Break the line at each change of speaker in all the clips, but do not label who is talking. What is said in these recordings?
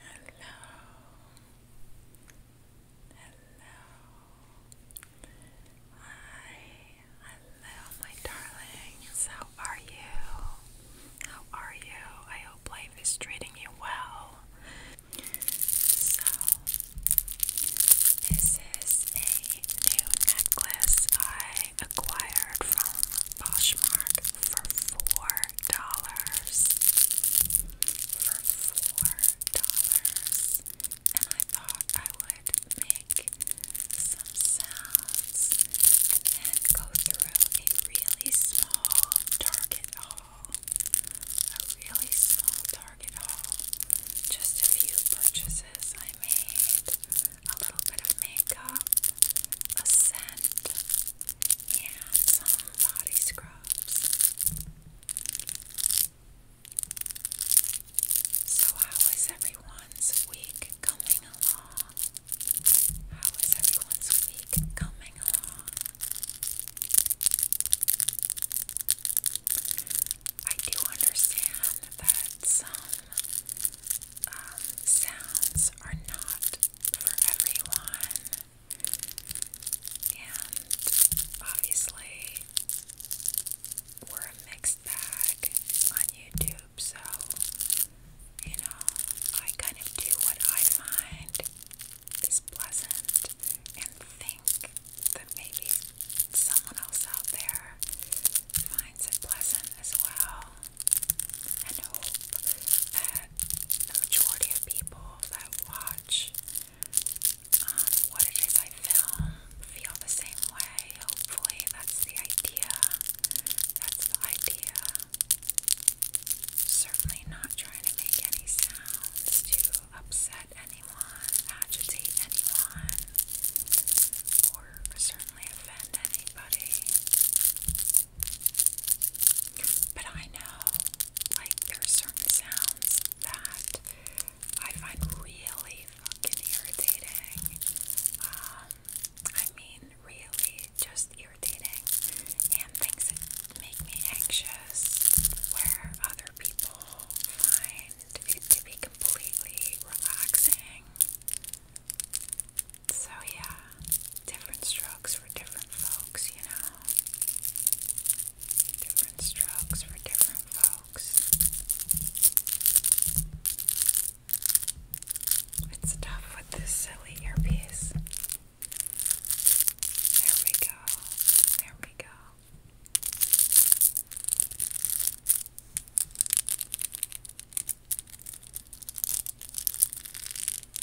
Hello. Hello. Hi. Hello, my darlings. How are you? How are you? I hope life is treating you well. So, this is a new necklace I acquired from Poshmark for four dollars. For four dollars. And I thought I would make some sounds and then go through a really small Target haul. A really small Target haul. Just a few purchases I made. A little bit of makeup, a scent, and some body scrubs. So, how is everyone's week coming along? How is everyone's week coming along? I do understand that some sounds are not for everyone, and obviously, we're a mixed bag on YouTube, so you know, I kind of do what I find is pleasant and think that maybe someone else out there finds it pleasant as well and hope that the majority of people that watch um, what it is I film feel the same way. Hopefully, that's the idea. That's the idea. Certainly not trying to make any sounds to upset anyone, agitate anyone, or certainly offend anybody. But I know, like, there's certain sounds that I find really fucking irritating. Um, I mean, really just irritating. And things that make me anxious, where other people find it to be completely relaxing. So, yeah, different strokes for different folks, you know. Different strokes for different folks. It's tough with this silly earpiece. There we go. There we go.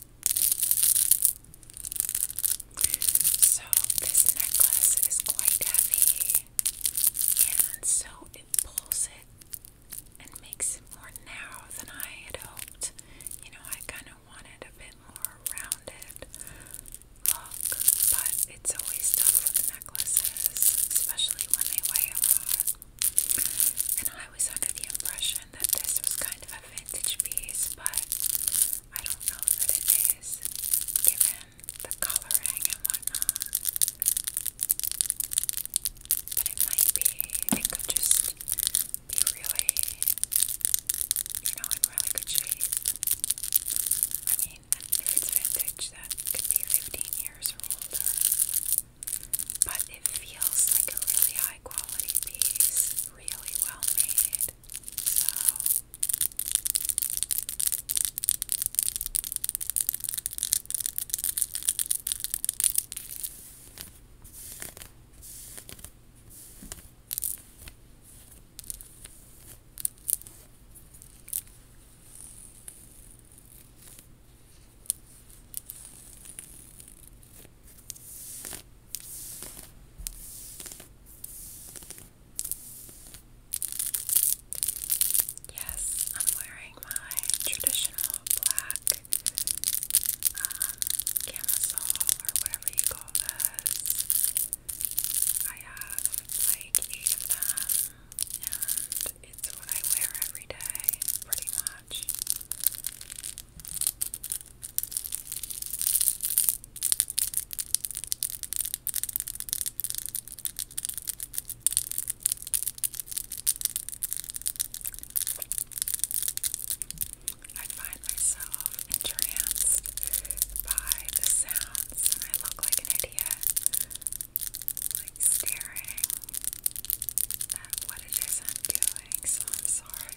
So, this necklace is quite heavy, and so it pulls it and makes it more narrow than I had hoped. You know, I kind of wanted a bit more rounded look, but it's always tough with necklaces, especially when they weigh a lot. And I I under the impression that this was kind of a vintage piece, but I don't know that it is, given the coloring and whatnot. But it might be, it could just be really, you know, in really good shape. I mean, if it's vintage, that could be 15 years or older. But it feels like a really high quality piece really well made. So Yes, I'm wearing my traditional black um, camisole or whatever you call this. I have like eight of them, and it's what I wear every day, pretty much. I find myself entranced by the sounds, and I look like an idiot, like staring at what it is I'm doing, so I'm sorry.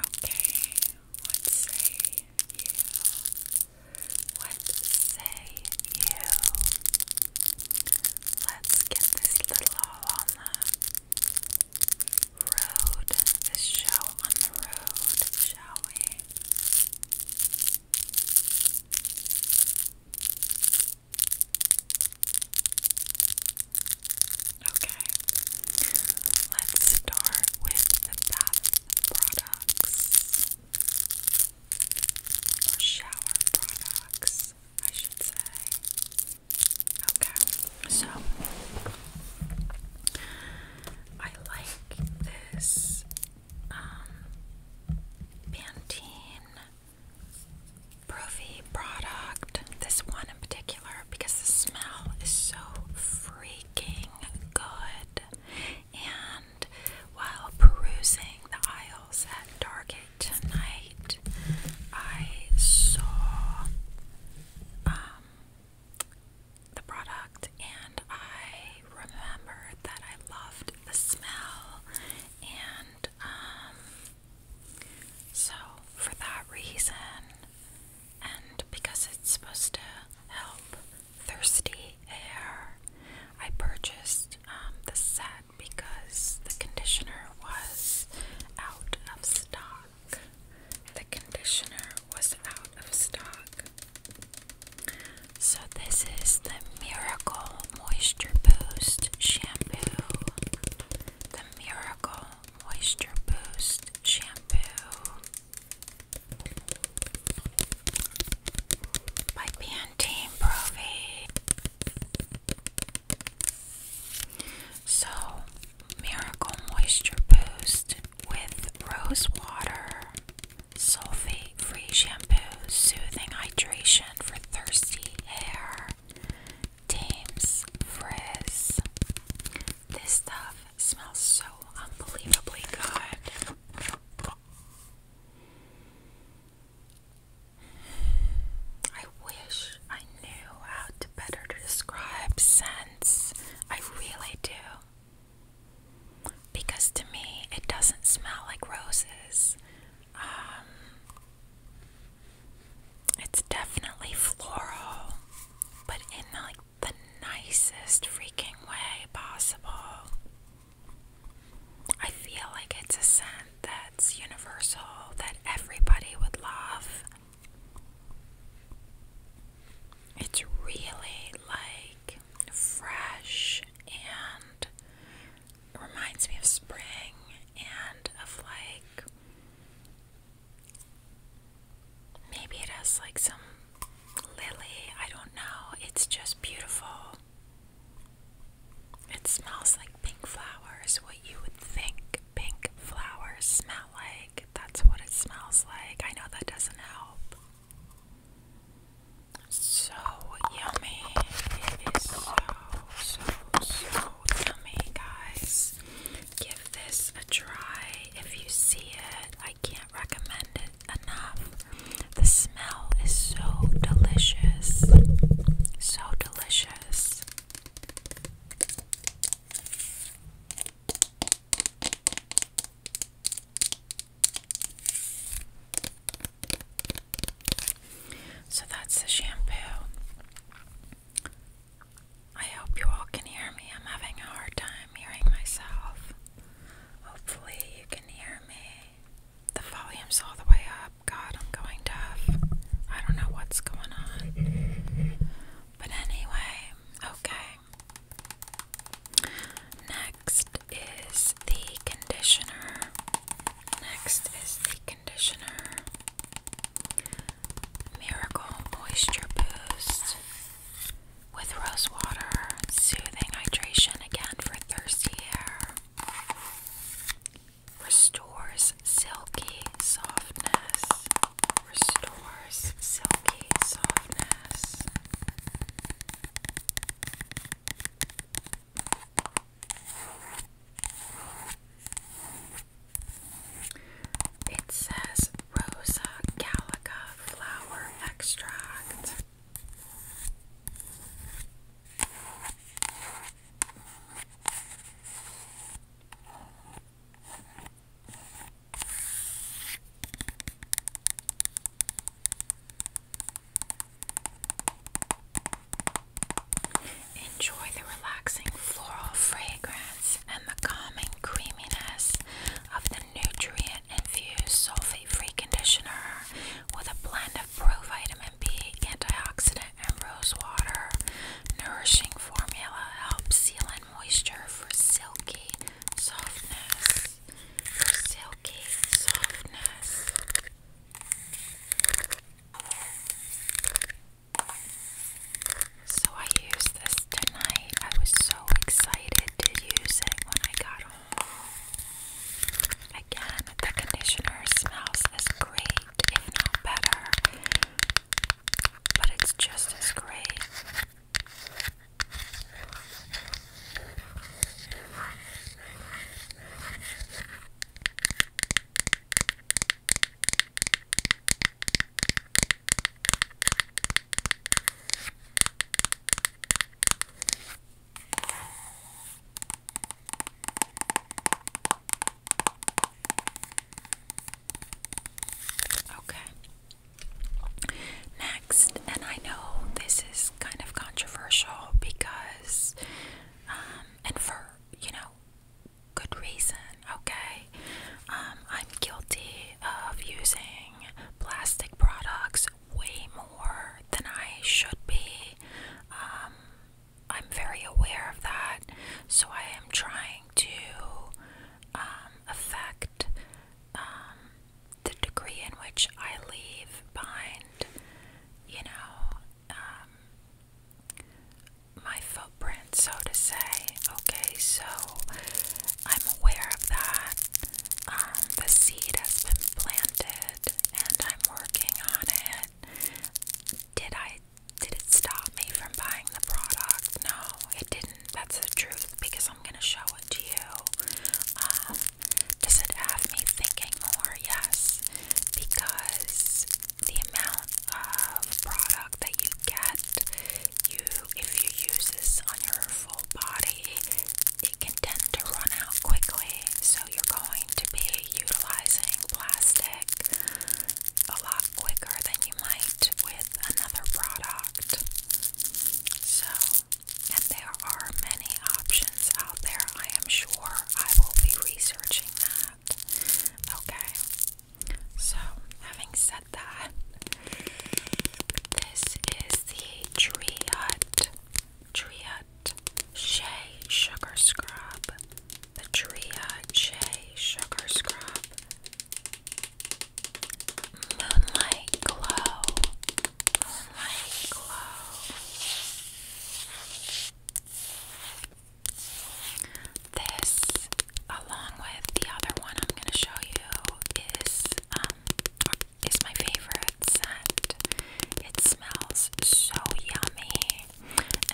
Okay, what say you? What say you? Let's get this little all on the road, this show on the road, shall we? Okay, let's start with the bath products or shower products, I should say. Okay, so I like this um, Pantene Profi product, this one in particular, because the smell is so freaking good. And while perusing the aisles at Target tonight, I saw um, the product and I remembered that I loved the smell and um so, for that reason, and because it's supposed to help thirsty hair, I purchased um, the set because the conditioner was out of stock. The conditioner was out of stock. So, this is the Miracle Moisture Boost Shampoo. Miracle Moisture Boost Shampoo by Pantene Provi. So, Miracle Moisture Boost with Rose Water, Sulfate Free Shampoo, Soothing Hydration for Thirsty Hair. Dames Frizz. This stuff smells so unbelievably good. I wish I knew how to better describe scents. I really do. Because to me, it doesn't smell like roses. Um, it's definitely floral, but in like the nicest freaking way possible. I feel like it's a scent that's universal, that everybody would love. It's really like fresh and reminds me of spring and of like Maybe it has like some lily, I don't know. It's just beautiful. It smells like pink flowers, what you would think pink flowers smell like. That's what it smells like. I know that doesn't help. So yummy. It is so, so, for me, guys. Give this a try if you see it. I can't recommend it enough. The smell is so delicious. So delicious. So that's the shampoo. I hope you all can hear me. I'm having a hard time hearing myself. Hopefully, you can hear me. The volume's all the way up. God, I'm going deaf. I don't know what's going on. But anyway, okay. Next is the conditioner. Next is the conditioner. Miracle Moisture Boost with rose water, soothing hydration again for thirsty hair. Restores silky softness. Restores silky softness. It says Rosa Gallica flower extract. Enjoy the relaxing floral fragrance and the calming creaminess of the nutrient infused sulfate free conditioner with a blend of pro B, antioxidant, and rose water. Nourishing formula helps seal in moisture For silky softness. So I used this tonight. I was so excited to use it when I got home. Again, the conditioner smells as great, if not better, but it's just as great. Okay. Next, and I know this is kind of controversial because, um, and for, you know, good reason, okay? Um, I'm guilty of using plastic products way more than I should be. Um, I'm very aware of that, so I am trying to um, affect the degree in which I leave behind, you know, um, my footprint, so to say. Okay, so I'm aware of that. Um, the seed has been planted, and I'm working on it. Did I? Did it stop me from buying the product? No, it didn't. That's the truth because I'm gonna show it to you. Um, does it have me thinking more? Yes, because the amount of product that you get, you if you use this on your full body, it can tend to run out quickly. So you're going to be utilizing plastic a lot quicker than you might with another product. So and there are many options out there. I am sure I will be researching that. Okay, so having said that, this is the Tree Hut, Tree Hut Shea Sugar Scrub. The Tree Shea Sugar Scrub. Moonlight Glow. Moonlight Glow. This, along with the other one I'm going to show you, is um is my favorite scent. It smells so yummy,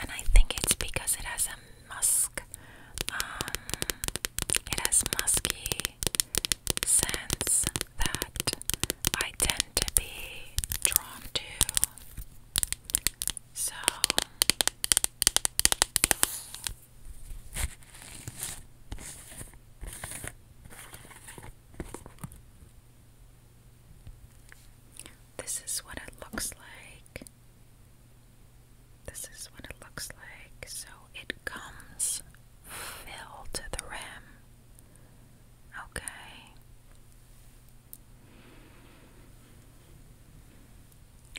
and I think it's because it has a musk. Um, it has musky scents that I tend to be drawn to. So this is what it looks like. This is what it looks like. So it comes filled to the rim. Okay.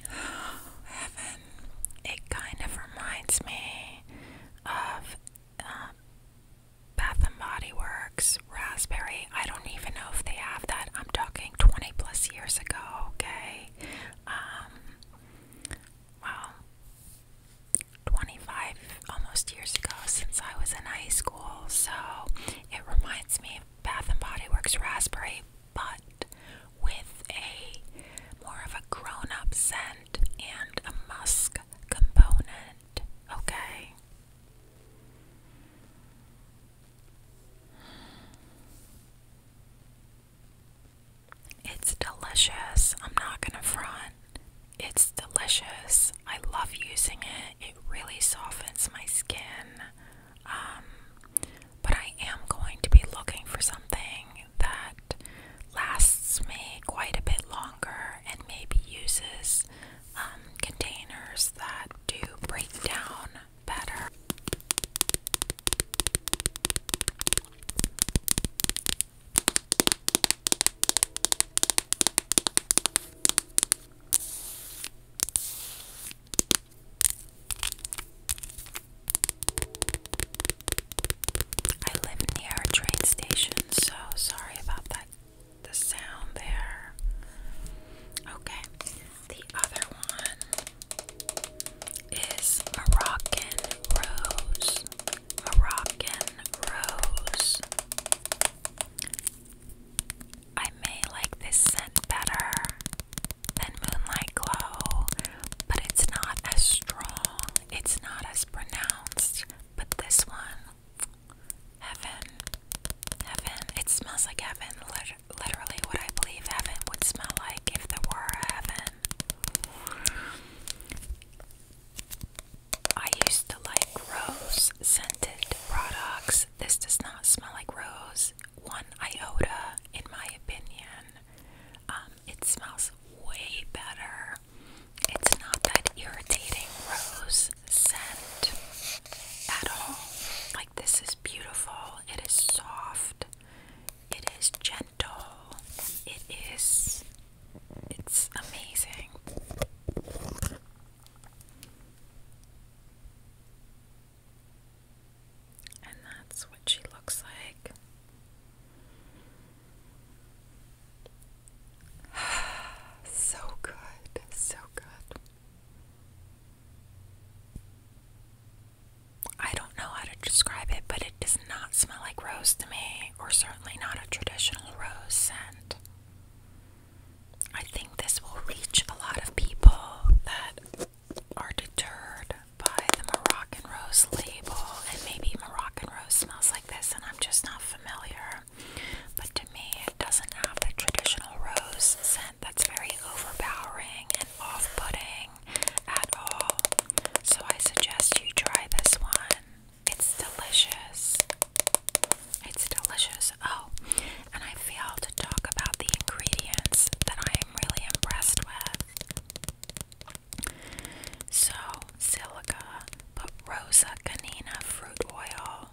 Heaven. It kind of reminds me of um, Bath and Body Works Raspberry. I don't even know if they have that. I'm talking 20 plus years ago, okay? Um, well, 25 almost years ago since I was in high school, so it reminds me of Bath and Body Works Raspberry, but with a more of a grown up scent and a musk component, okay? It's delicious. I'm not gonna front. It's delicious. I love using it. It really softens my skin. Um, but I am going to be looking for something that lasts me quite a bit longer and maybe uses um, containers that do break down better. I live near a train station, so sorry about that the sound there. Okay. The other one is Moroccan Rose. Moroccan Rose. I may like this scent better than Moonlight Glow, but it's not as strong, it's not as pronounced. But this one, heaven, heaven, it smells like heaven. literally, what I believe heaven would smell like if there were a heaven. I used to like rose scented products. This does not smell like rose one iota, in my opinion. Um, it smells way better. It's not that irritating rose scent at all. Like, this is beautiful. It is soft. It is gentle. It is. It's amazing. And that's what she looks like. so good, so good. I don't know how to describe it, but it does not smell like rose to me, or certainly not a traditional rose scent. I think this will reach a lot of people that are deterred by the Moroccan Rose label, and maybe Moroccan Rose smells like this, and I'm just not familiar. But to me, it doesn't have the traditional rose scent that's very overpowering and off putting at all. So I suggest you try this one. It's delicious. It's delicious. Oh, and I fail to talk about the ingredients that I am really impressed with. So, silica, but Rosa canina fruit oil,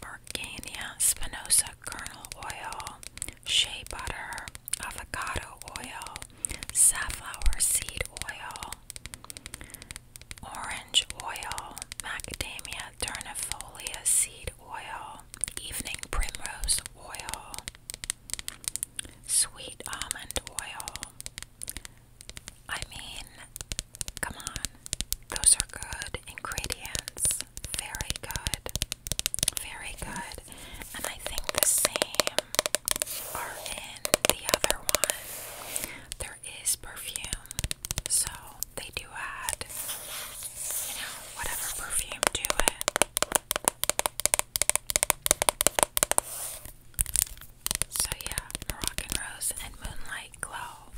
Organia spinosa kernel oil, shea butter, avocado oil, safflower seed oil. Orange oil, macadamia Durnifolia seed oil, evening primrose oil, sweet almond oil. I mean, come on, those are good ingredients. Very good. Very good. And I think the same are in the other one. There is perfume, so they do add you know, whatever perfume do it. So, yeah, Moroccan Rose and Moonlight Glow.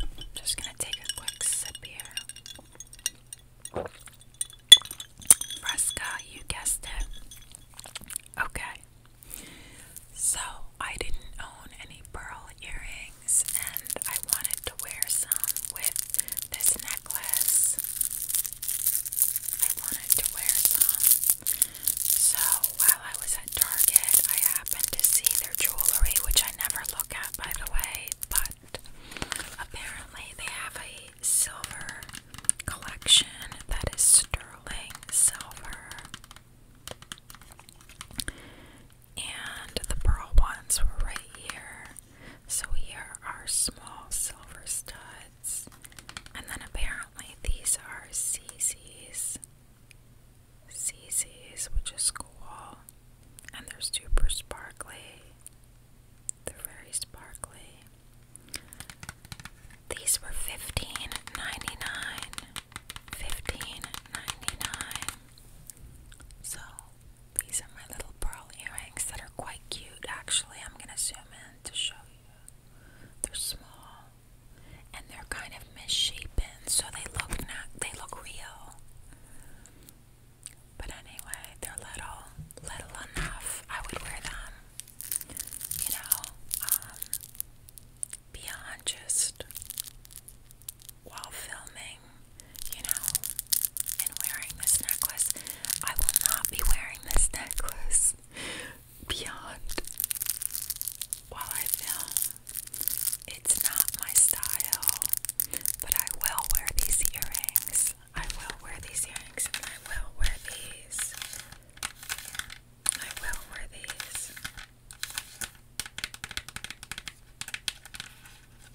I'm just gonna take a quick sip here. Fresca, you guessed it. Okay. So, I didn't own any pearl earrings and I wanted to wear some with this necklace. I wanted to wear some. So while I was at Target, I happened to see their jewelry, which I never look at by the way, but apparently they have a silver collection that is sterling silver and the pearl ones were right here. So here are small silver studs. And then apparently these are CC's. CC's, which is cool. And they're super sparkly. They're very sparkly. These were fifteen ninety nine. dollars 15 so these are my little pearl earrings that are quite cute actually. I'm gonna zoom in to show you. They're small and they're kind of misshapen, so they look not they look real. But anyway, they're little, little enough. I would wear them, you know, um, beyond just while filming, you know, and wearing this necklace. I will not be wearing this necklace beyond while I film. It's not my style, but I will wear these earrings. I will wear these earrings I will wear these. I will wear these.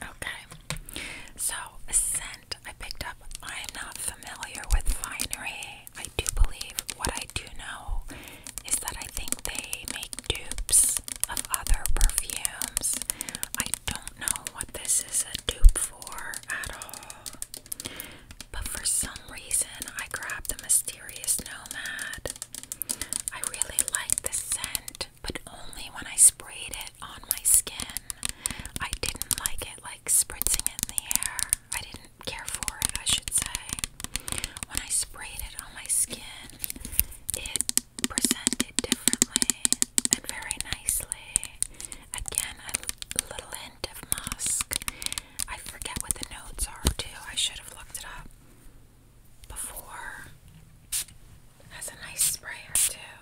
Okay, so scent I picked up. I am not familiar with Finery. I do believe what I do know is that I think they make dupes of other perfumes. I don't know what this is a dupe for at all. But for some reason, I grabbed the Mysterious Nomad. I really liked the scent, but only when I sprayed it on my skin. I didn't like it like spritzing it in the air. I didn't care for it, I should say. When I sprayed it on my skin, it presented differently and very nicely. Again, a little scent I forget what the notes are too. I should have looked it up before. Has a nice sprayer too.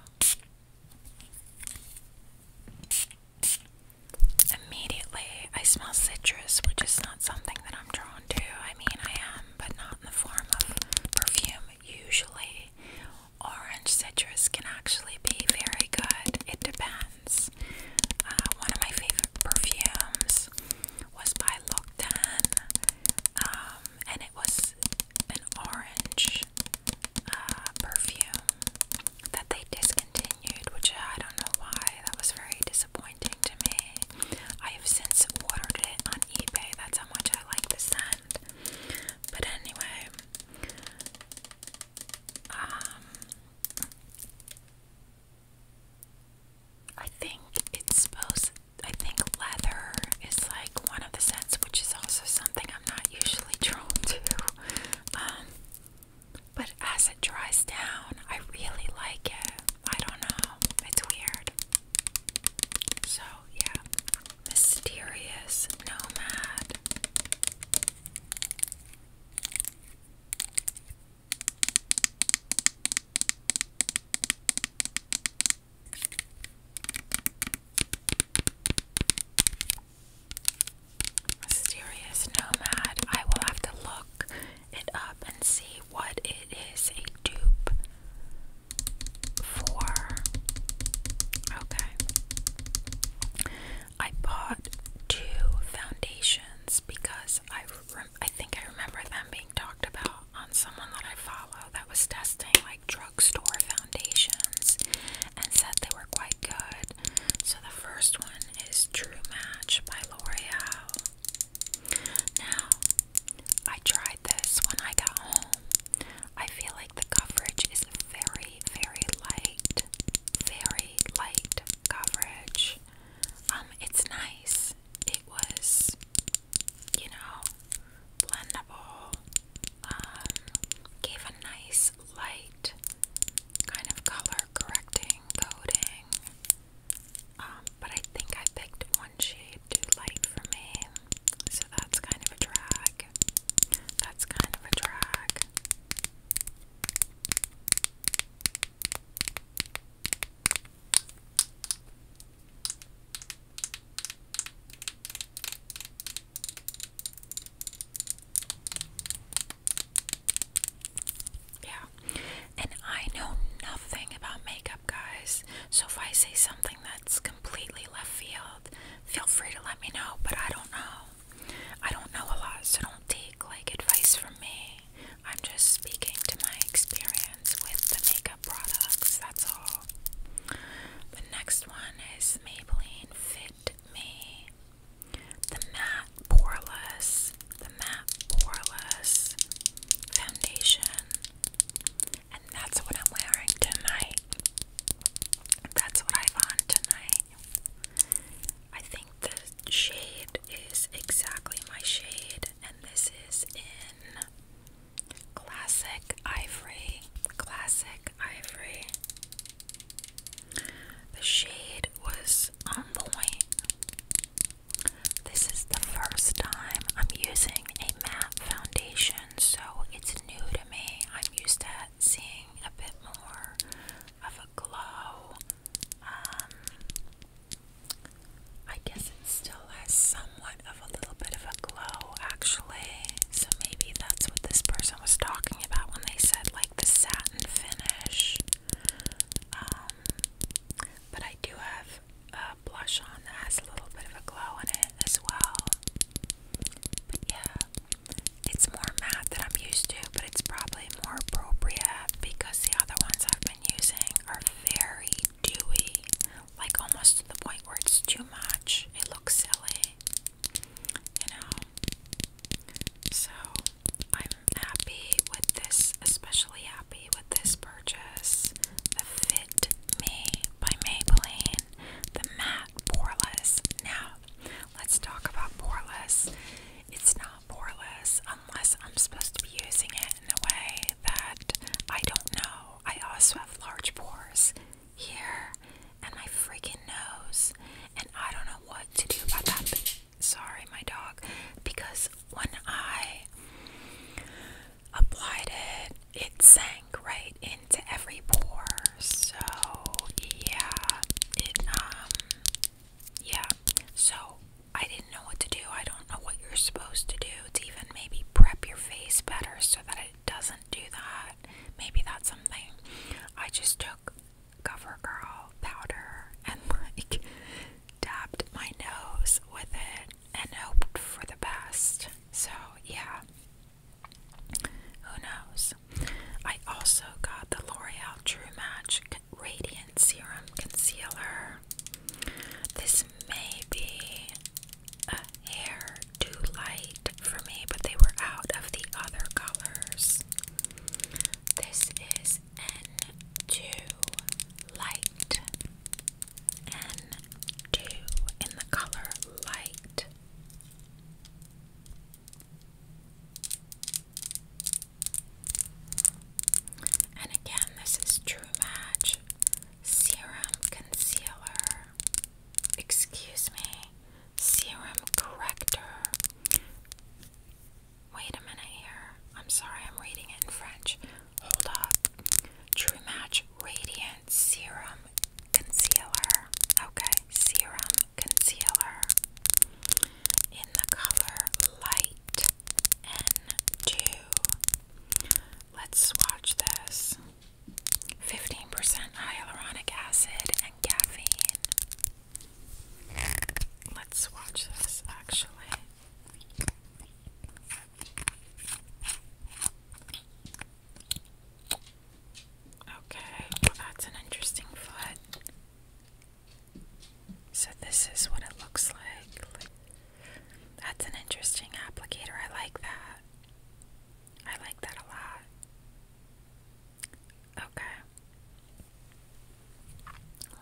Immediately, I smell citrus, which is not something that I'm drawn to. I mean, I am, but not in the form of perfume. Usually, orange citrus can actually be very good. It depends. Uh, one of my favorite perfumes was by Lockdown, um, and it was an orange uh, perfume that they discontinued, which uh, I don't know why. That was very disappointing to me. I have since ordered it on eBay. That's how much I like the scent. But anyway, um, I think it's supposed. I think leather is like one of the scents, which is also something I'm not usually drawn to. Um, but as it dries down, I really like it. I don't know. It's weird. So, yeah. Mysterious Nomad. Mysterious Nomad. I will have to look it up and see what it is a dupe for. Okay. I bought two foundations because I I think I remember them being talked about on someone that I follow that was testing like drugstore foundations and said they were quite good. So the first one is True Match by L'Oreal. Now, I tried this when I got home. I feel like the coverage is very, very light, very light coverage. Um, it's nice. It was, you know, blendable. Um, gave a nice light kind of color correcting coating. Um, but I think I picked one shade too light for me, so that's kind of a drag. That's kind of a drag. Yeah, and I know nothing about makeup, guys. So if I say something that's completely left field, feel free to let me know, but I don't know. I don't know a lot, so don't take like advice from me. I'm just speaking to my experience with the makeup products, that's all. The next one is Maybelline Fit Me. The matte poreless, the matte poreless foundation. And that's what I'm wearing tonight. That's what I've on tonight. I think the shade is exactly my shade, and this is in Classic Ivory. Classic Ivory. The shade was on the point. This is the first time I'm using a matte foundation, so it's new to me. I'm used to seeing a bit more of a glow. Um, I guess it still has somewhat of a little bit of a glow, actually. So maybe that's what this person was talking about when they said like the satin finish. Um, but I do have a blush on that has a little bit of a glow in it as well. But yeah, it's more matte than I'm used to, but it's probably more appropriate because the other ones I've been using are very dewy, like almost to the point where it's too much. It looks silly, you know. So I'm happy with this, especially happy with this purchase. Fit Me by Maybelline, the matte poreless. Now Let's talk about poreless. It's not poreless unless I'm supposed to be using it in a way that I don't know. I also have large pores here and my freaking nose, and I don't know what to do about that. Sorry, my dog, because when I applied it, it sank right into every pore so yeah, um yeah. So I didn't know what to do. I don't know what you're supposed to do to even maybe prep your face better so that it doesn't do that. Maybe that's something. I just took CoverGirl powder and like dabbed my nose with it and hoped for the best. So yeah. Who knows? I also got the L'Oreal True Match Radiant Serum Concealer. This may be a hair too light for me, but they were out of the other colors. This is N2 Light. N2 in the color Light. And again, this is True Match Serum Concealer. Excuse me, Serum Corrector. Wait a minute here. I'm sorry, I'm reading it in French. Hold up. True Match Radiant Serum Concealer. Okay, serum concealer in the color Light N2. Let's swatch this 15% hyaluronic acid and caffeine. Let's swatch this actually. Okay, that's an interesting foot. So this is what it looks like. That's an interesting applicator. I like that. I like that a lot. Okay.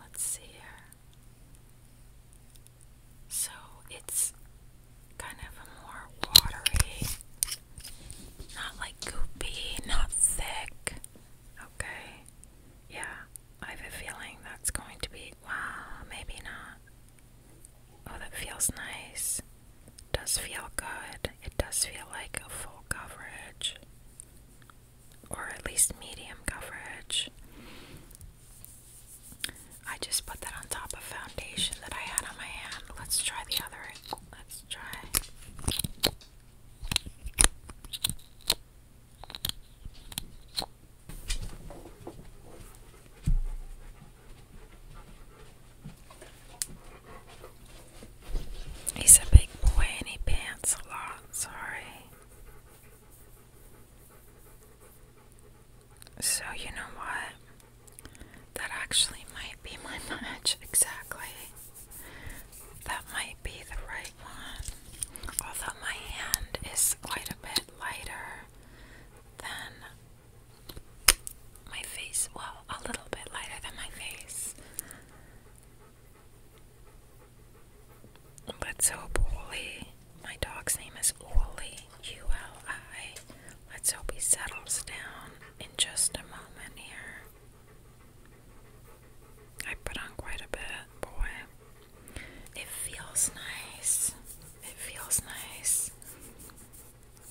Let's see here. So it's kind of a more watery, not like goopy, not thick. Okay. Yeah, I have a feeling that's going to be. Wow, maybe not. Oh, that feels nice. Does feel good. It does feel like a full coverage, or at least medium coverage. I just put that on top of foundation that I had on my hand. Let's try the other. Let's try. He's a big boy and he pants a lot, sorry. So, you know what? That actually might be my match, exactly. That might be the right one. Although my hand is quite a bit lighter than my face. Well, a little bit lighter than my face. Let's hope Wooly, my dog's name is Wooly, U L I. Let's hope he settles down in just a moment here. I put on quite a bit, boy. It feels nice. It feels nice.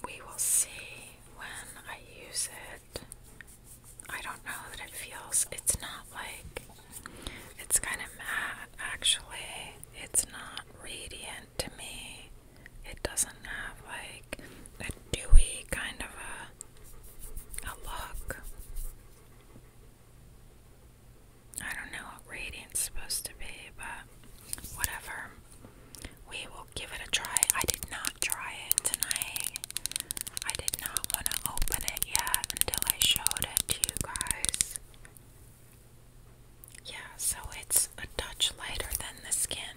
We will see when I use it. I don't know that it feels, it's not like, it's kind of matte actually. It's not radiant to me. It doesn't have like a dewy kind of a a look. I don't know what radiant's supposed to be, but whatever. We will give it a try. I did not try it tonight. I did not want to open it yet until I showed it to you guys. Yeah, so it's a touch lighter than the skin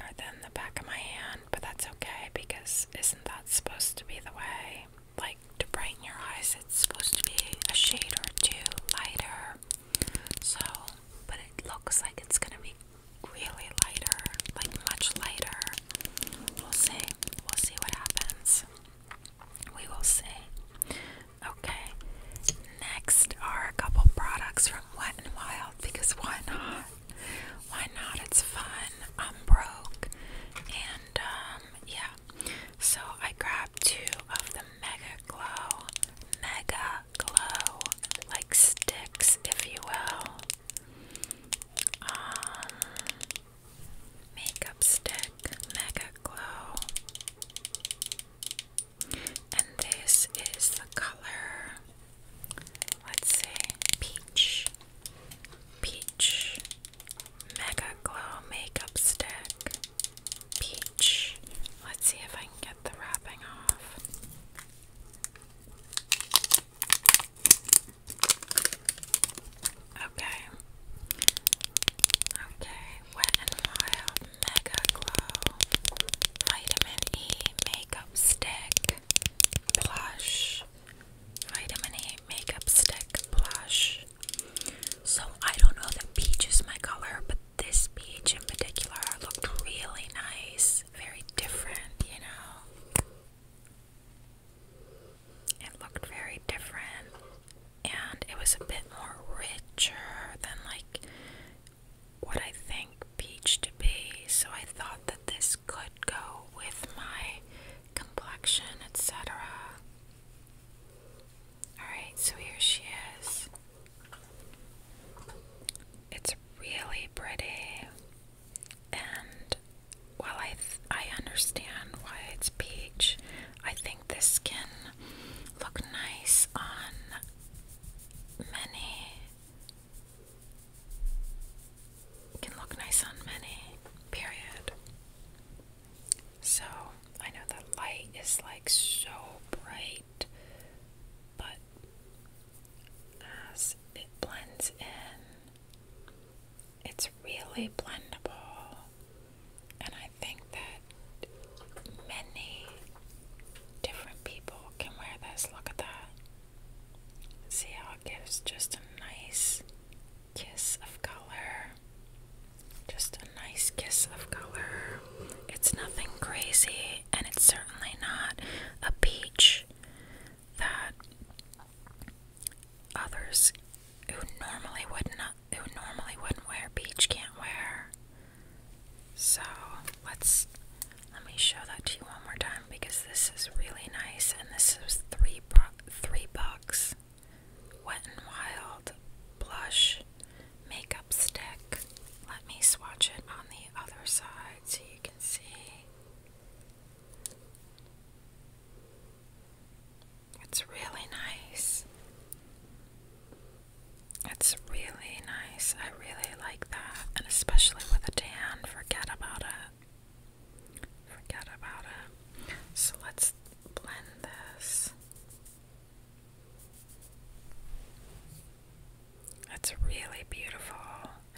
or than the back of my hand, but that's okay because isn't that supposed to be the way? Like to brighten your eyes, it's supposed to be a shade or two lighter. So, but it looks like it's gonna be really lighter, like much lighter. We'll see. We'll see what happens. We will see. Okay. Next are a couple products from Wet and Wild because why not? why not? It's fun. I'm broke, and um, yeah. So I grabbed two of the Mega Glow, Mega Glow, like sticks, if you will. Um, makeup stick, Mega Glow. And this is the color Let's see. Peach. Peach. Mega Glow Makeup Stick. Peach. Let's see if I can get the wrapping off. Okay. Okay. Wet and Wild Mega Glow Vitamin E Makeup Stick blush, vitamin A makeup stick blush. So I don't know that peach is my color, but this peach in particular looked really nice, very different, you know. It looked very different, and it was a bit more richer than like what I think peach to be. So I thought that this could go with my complexion, etc. Alright, so here she is. It's really pretty, and while I, I understand why it's peach, I think this can look nice on many can look nice on many, period. So, I know that light is like so bright, but as it blends in, it's really blendable. And I think that many different people can wear this. Look at that. See how it gives just a nice kiss of color. Just a nice kiss of color. It's nothing crazy, and it's certainly not a peach that others who normally would not who normally wouldn't wear peach can't wear. So let's let me show that to you one more time because this is really nice and this is three three bucks wet and wild blush makeup stick let me swatch it on the other side so you can see it's really nice it's really nice. I I really like that, and especially with a tan, forget about it. Forget about it. So let's blend this. It's really beautiful,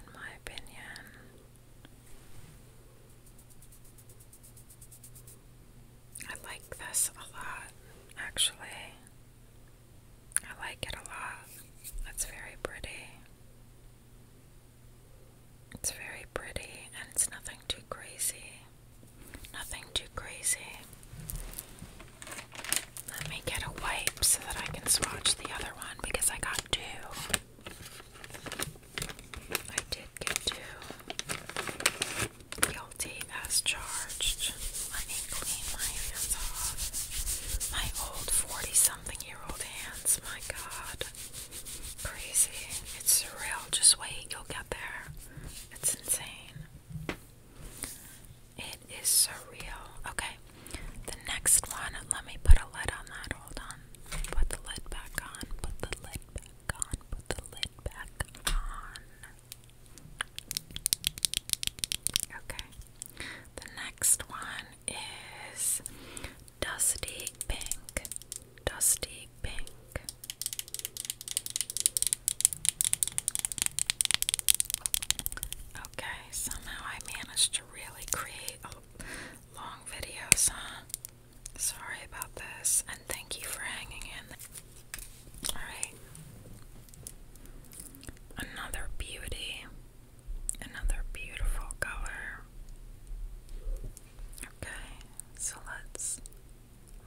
in my opinion. I like this a lot, actually. I like it a lot. That's very pretty. It's very pretty and it's nothing too crazy. Nothing too crazy. Let me get a wipe so that I can swatch the other one because I got two. I did get two. Guilty as charged. Let me clean my hands off. My old 47 something year old hands. My god. Crazy. It's surreal. Just wait, you'll get there. It's insane. It is surreal. Okay. The next one, let me put a lid on that. Hold on. Put the lid back on. Put the lid back on. Put the lid back on. Okay. The next one is Dusty Pink. Dusty Pink. Okay, somehow I managed to really create a long video, huh? Sorry about this, and thank you for hanging in. Alright. Another beauty. Another beautiful color. Okay, so let's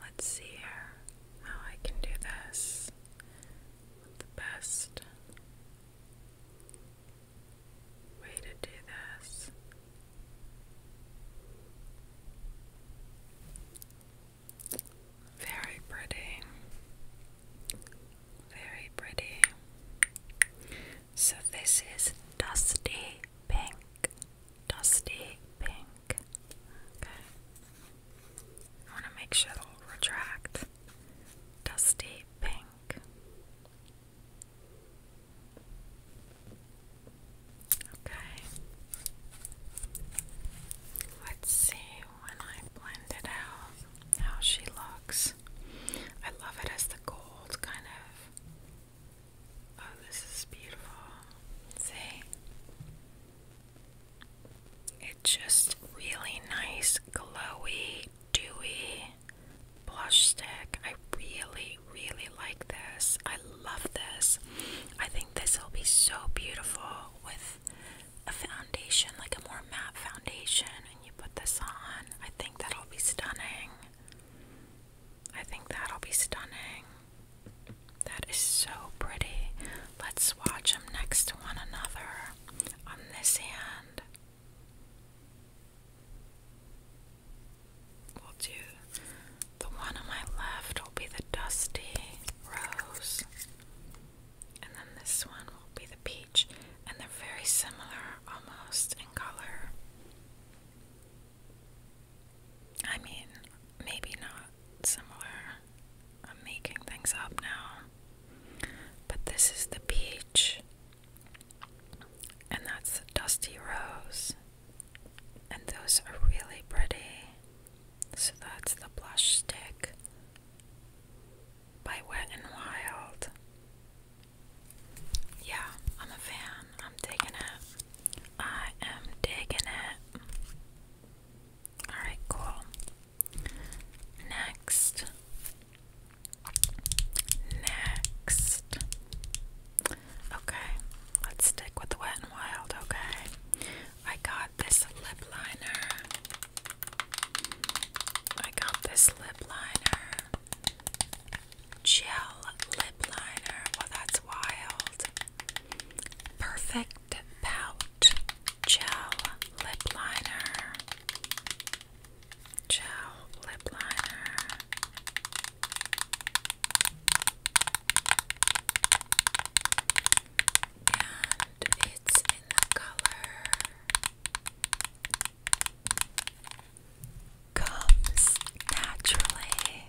let's see here how I can do this the best way to do this. Very pretty. Very pretty. So this is dusty pink. Dusty pink. Okay. I want to make sure it'll retract. Dusty pink. Okay. Let's see when I blend it out how she looks. I love it as the gold kind of. Oh, this is beautiful. See? It's just really nice, glowy, dewy blush stick. I really, really like this. I love this. I think this will be so beautiful with a foundation, like a more matte foundation, and you put this on. I think that'll be stunning. I think that'll be stunning. That is so pretty. Let's watch them next to one another on this hand. We'll do the one on my left will be the dusty rose, and then this one will be the peach and they're very similar almost in color. I mean, maybe not similar. I'm making things up now. But this is the peach, and that's the dusty rose, and those are really pretty. So that's the blush stick by Wet n Wild. Yeah, I'm a fan. I'm digging it. I am digging it. Alright, cool. Next. Next. Okay, let's stick with Wet n Wild, okay? I got this lip liner. I got this Gel lip liner. Well, that's wild. Perfect Pout Gel Lip Liner. Gel Lip Liner. And it's in the color comes naturally,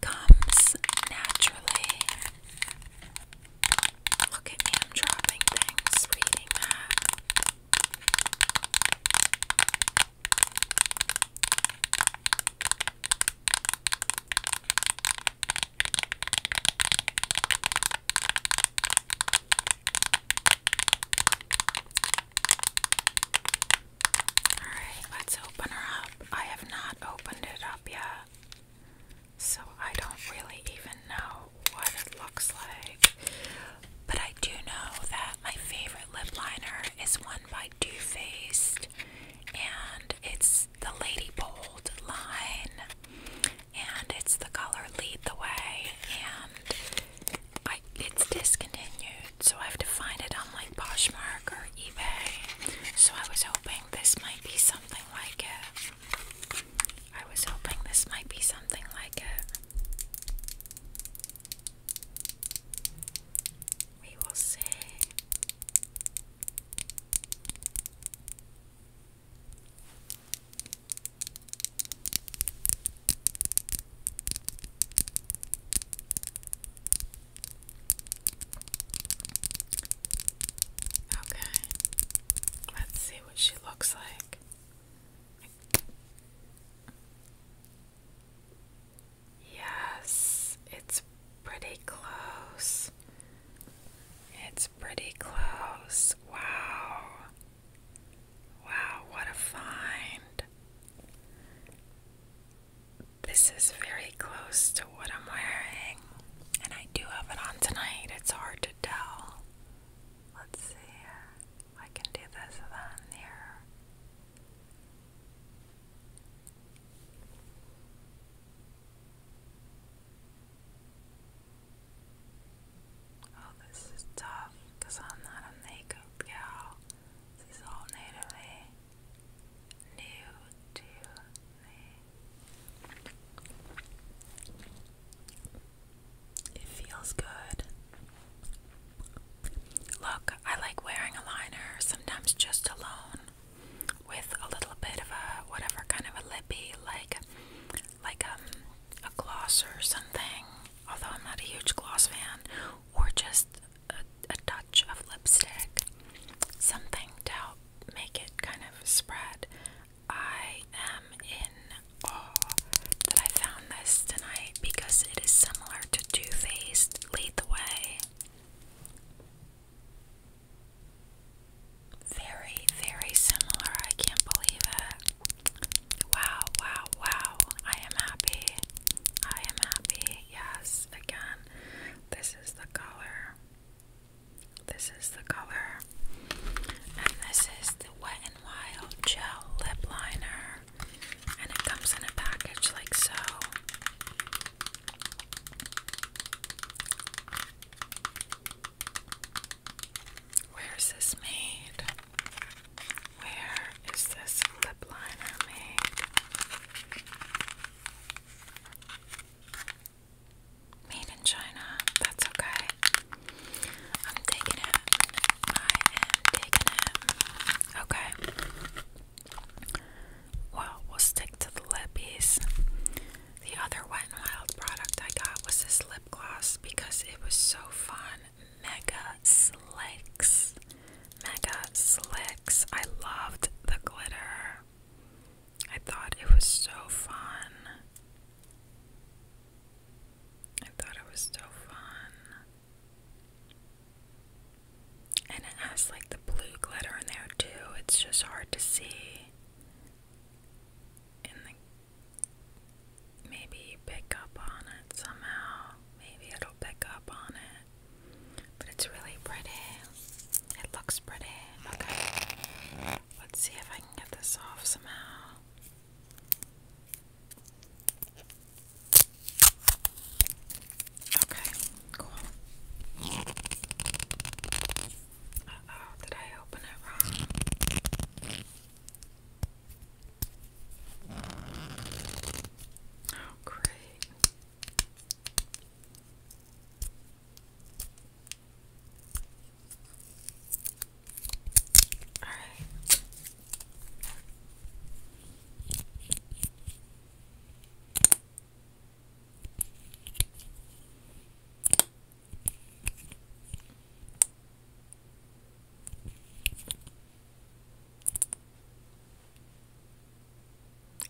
comes naturally. Look at me, dropping things, reading that. Alright, let's open her up. I have not opened it up yet, so I don't really even know what it looks like. But I do know that my favorite lip liner is one by Too Faced, and it's the Lady Bold line and it's the color Lead the Way, and I, it's discontinued, so I have to find it on like Poshmark or eBay. So I was hoping this might be something like it. I was hoping this might be something like it. We will see. Okay, let's see what she looks like. Yes, it's pretty close. It's pretty close. Wow. Wow, what a find. This is very close to what I'm wearing. And I do have it on tonight. It's hard to tell. Let's see I can do this then here. Oh, this is tough because I'm not a makeup gal. This is all natively new to me. It feels good. Look, I like wearing a liner, sometimes just alone, with a little bit of a whatever kind of a lippy, like like um, a gloss or something, although I'm not a huge gloss fan, or just a, a touch of lipstick, something to help make it kind of spread. I am in awe that I found this tonight because it is similar to Too Faced Lead the Way. Very, very similar. I can't believe it. Wow, wow, wow. I am happy. I am happy. Yes, again. This is the color. This is the color. And this is the Wet n Wild Gel Lip Liner. And it comes in a package like so. Where is this made? Where is this lip liner made? Made in China. That's okay. I'm taking it. I am taking it. Okay. Well, we'll stick to the lippies. The other Wet n Wild product I got was this lip gloss because it was so fun. Mega Slicks. Mega Slicks. I loved the glitter. I thought it was so fun. I thought it was so fun. And it has like the blue glitter in there too. It's just hard to see in the maybe pick up on it somehow. Maybe it'll pick up on it. But it's really pretty. It looks pretty. Okay. Let's see if I can get this off somehow. Okay, cool. Uh oh, did I open it wrong? Oh, great. All right.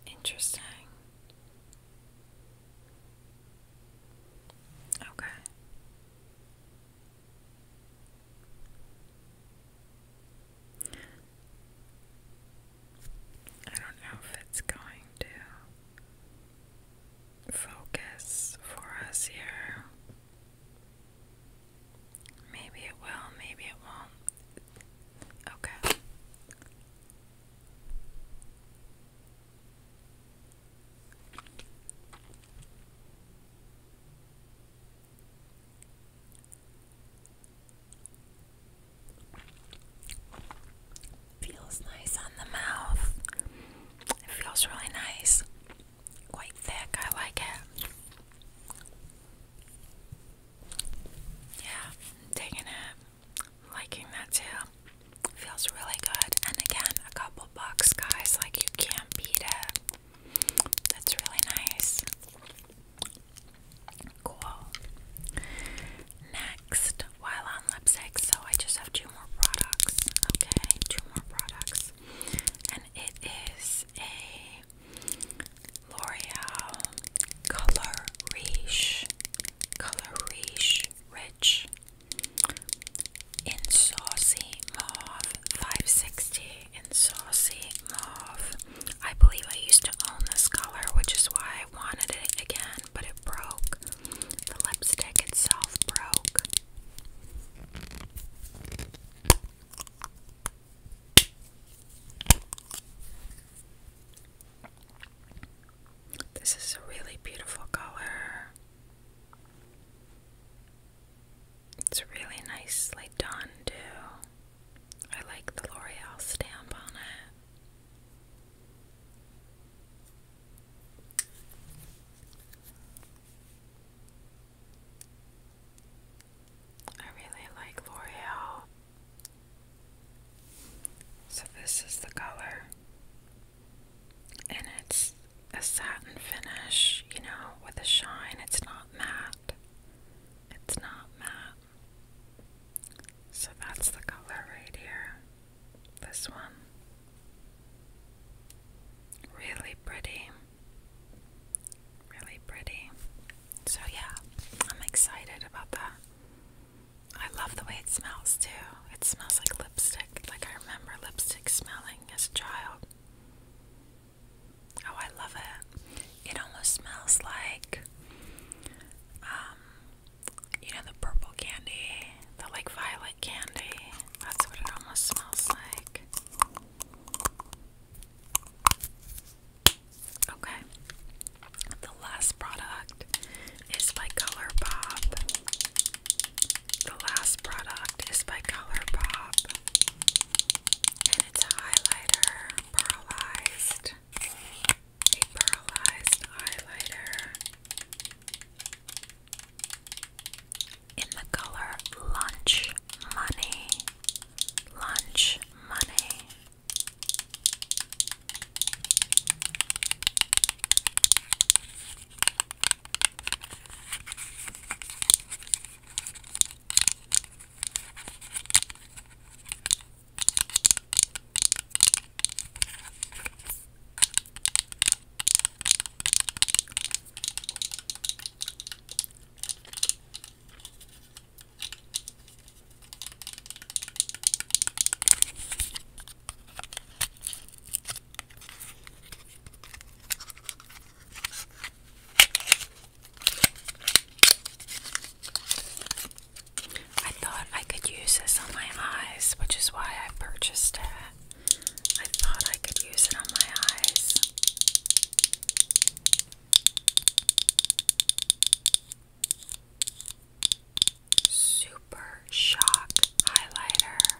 Interesting. Okay. I don't know if it's going to focus for us here. Maybe it will, maybe it won't. Okay. Feels nice on the mouth. It feels really nice, quite thick. I like it. Yeah, i it. liking that too. Feels really good. And again, a couple bucks, guys. Like you can't beat it. That's really nice. Cool. Next, while on lipstick, so I just have two more products. Okay, two more products. And it is a L'Oreal Color Riche, Color Riche Rich in Saucy Mauve 560. In Saucy Mauve. I believe I used to own this color, which is why I wanted it again, but it broke. The lipstick itself broke. This is a really beautiful color. It's really nicely done, too. I like the L'Oreal stamp on it. I really like L'Oreal. So, this is the color, and it's a satin finish, you know, with a shine. It's not matte, it's not matte. So, that's the color right here. This one. Really pretty. Really pretty. So, yeah, I'm excited about that. I love the way it smells too. It smells like lipstick. Like, I remember lipstick smelling as a child. Oh, I love it. It almost smells like, um, you know, the purple candy, the like violet candy. That's what it almost smells like. Okay. The last product is by ColourPop. The last product is by ColourPop. And it's a highlighter, pearlized. A pearlized highlighter in the color lunch money, lunch money. I thought I could use this on my eyes, which is why I purchased it. I thought I could use it on my eyes. Super Shock Highlighter.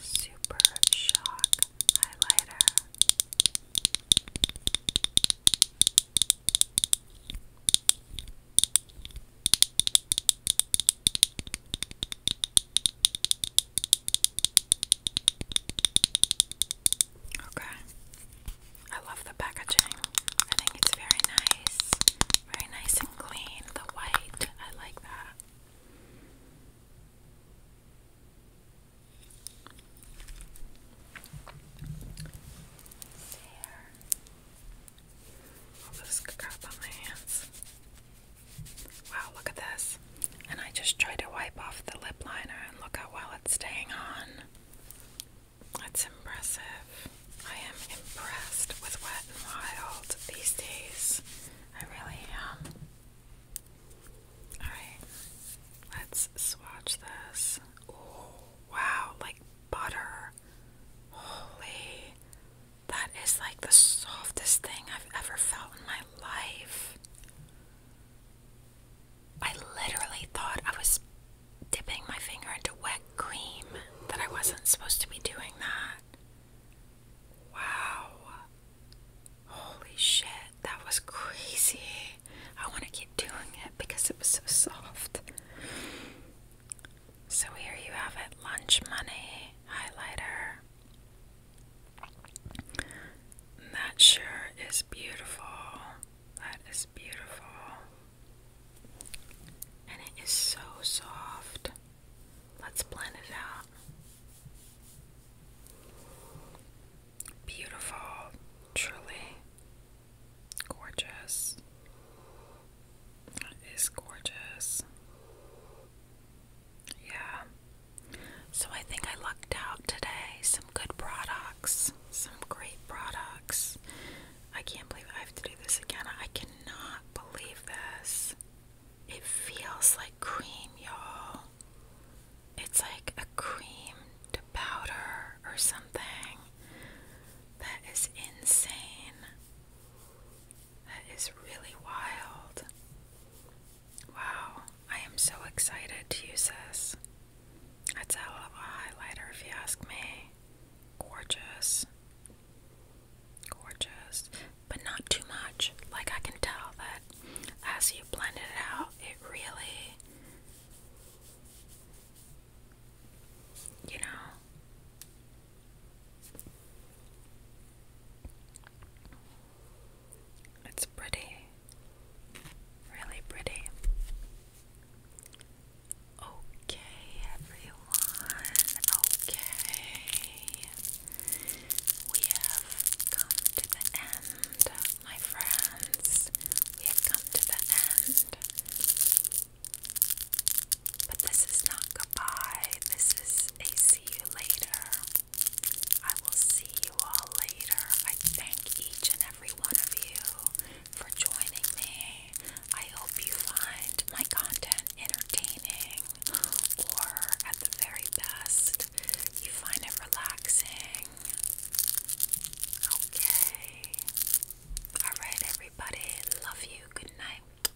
Super Shock Highlighter. Okay. I love the packaging. I think it's very nice. Very nice and clean. The white, I like that. There. All this crap on my hands. Wow, look at this. And I just tried to wipe off the lip liner and look how well it's staying on. That's impressive. I am impressed with Wet n Wild these days. I really am. Alright, let's swatch this. Oh, wow, like butter. Holy. That is like the softest thing I've ever felt in my life. I literally thought I was dipping my finger into wet cream, that I wasn't supposed to be doing that. Wow. Holy shit, that was crazy. I want to keep doing it because it was so soft. So here you have it lunch money highlighter. That sure is beautiful. That is beautiful. And it is so soft. Let's blend it out. Beautiful, truly gorgeous. That is gorgeous. Yeah. So I think I lucked out today. Some good products. Some great products. I can't believe I have to do this again. I cannot believe this. It feels like cream, y'all. It's like a cream powder or something. That is insane. That is really wild. Wow, I am so excited to use this. That's a hell of a highlighter, if you ask me. Gorgeous. Gorgeous. But not too much. Like, I can tell that as you blend it out, it really. You know, it's pretty, really pretty. Okay, everyone, okay. We have come to the end, my friends. We have come to the end. But this is not goodbye. This is see you later. I will see you all later. I thank each and every one of you for joining me. I hope you find my content entertaining, or at the very best, you find it relaxing. Okay. Alright, everybody. Love you. Good night.